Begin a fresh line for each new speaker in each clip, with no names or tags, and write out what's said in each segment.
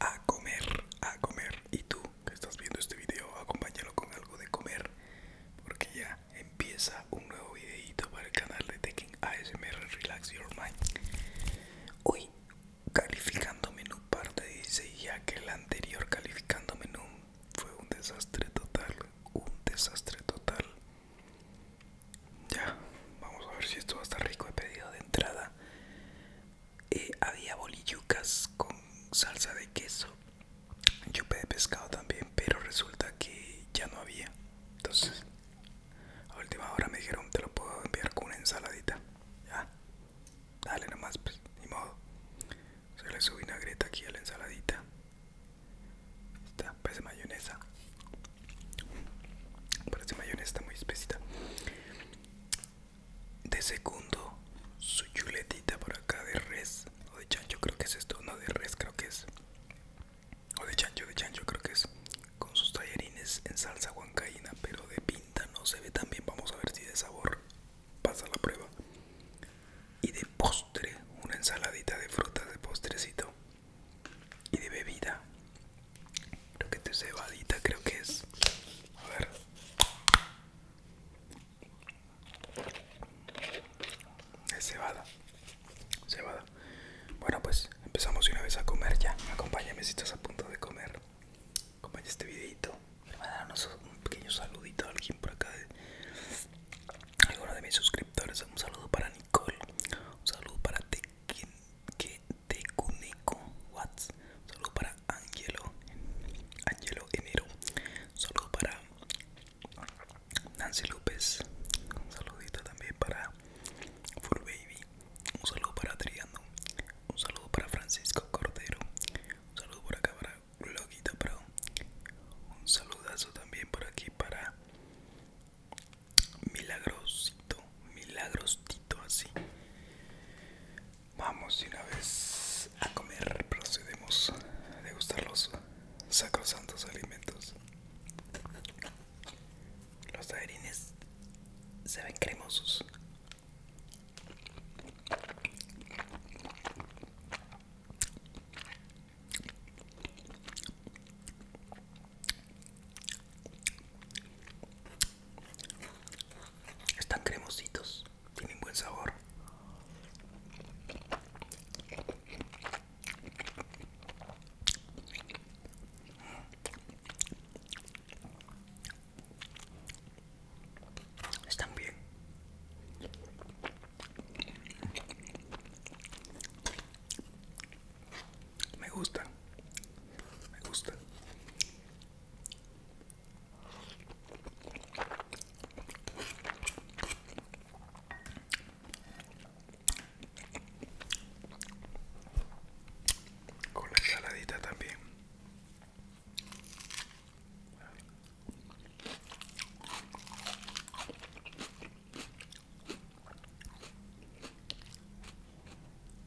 a comer, a comer. Y tú que estás viendo este video, acompáñalo con algo de comer, porque ya empieza un nuevo videito para el canal de Tekken ASMR Relax Your Mind. Hoy calificando menú parte dice ya que el anterior calificando menú fue un desastre total, un desastre total. Ya, vamos a ver si esto va a estar rico. de pedido de entrada eh, había bolillucas con salsa de queso, chupe de pescado también, pero resulta que ya no había. Entonces, a última hora me dijeron, te lo puedo enviar con una ensaladita. Ya, dale nomás, pues, ni modo. Se le subí greta aquí a la ensaladita. Esta parece mayonesa. Parece mayonesa, muy espesita de segundo su chuletita por acá de res o de chancho creo que es esto no de res creo que es o de chancho de chancho creo que es con sus tallarines en salsa huancaína pero de pinta no se ve tan bien vamos a ver si de sabor pasa la prueba y de postre una ensaladita de frutas de postrecito y de bebida Creo que te cebadita, creo que es. A ver. Es cebada. Cebada. Bueno, pues empezamos una vez a comer ya. Acompáñame si estás a punto de comer. Acompaña este videito. Me va a dar un pequeño saludito a alguien por acá. De, alguno de mis suscriptores. Un saludo para Nicole. Un saludo para ¿Qué? Que Tecuneco Watts. Saludos para Angelo. Angelo Enero. Saludos para Nancy López. Un saludito también para Full Baby. Un saludo para Adriano Un saludo para Francisco Cordero. Un saludo por acá para Gloguita Pro. Un saludazo también por aquí para milagrosito, milagrosito así. Vamos y una vez a comer, procedemos a degustar los sacrosantos alimentos. Los taberines se ven cremosos. Están cremositos, tienen buen sabor. Están bien. Me gusta. Me gusta. Con la saladita también.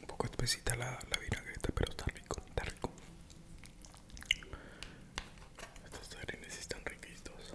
Un poco espesita la, la vinagreta, pero está rico, está rico. Estos serenes están riquitos.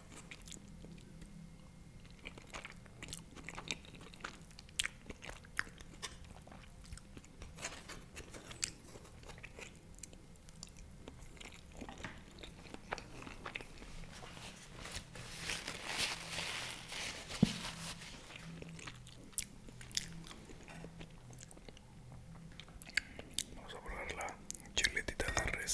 Vamos a probar la chiletita de res.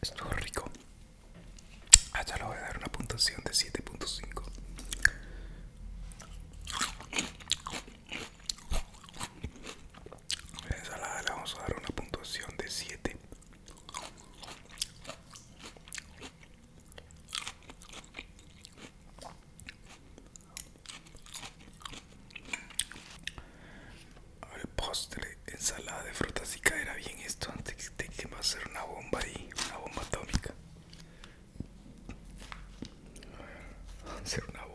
Estuvo rico. Allá ah, le voy a dar una puntuación de 7.5. La ensalada le vamos a dar una puntuación de 7. El postre, ensalada de frutas y caerá bien esto antes de que va a ser una bomba ahí, una bomba atómica. hacer ser una bomba.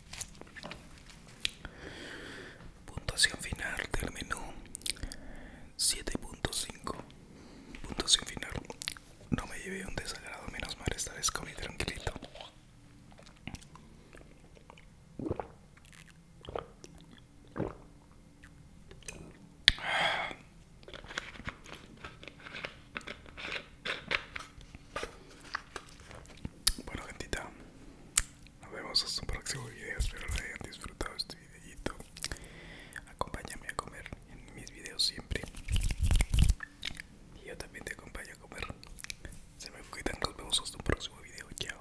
Puntuación final del menú 7.5. Puntuación final. No me llevé un desagrado, menos mal esta vez comí tranquilito. Bueno gentita, nos vemos hasta un próximo video, espero que hayan disfrutado este videito. Acompáñame a comer en mis videos siempre. Y yo también te acompaño a comer. Se me cuidan, nos vemos hasta un próximo video. Chao.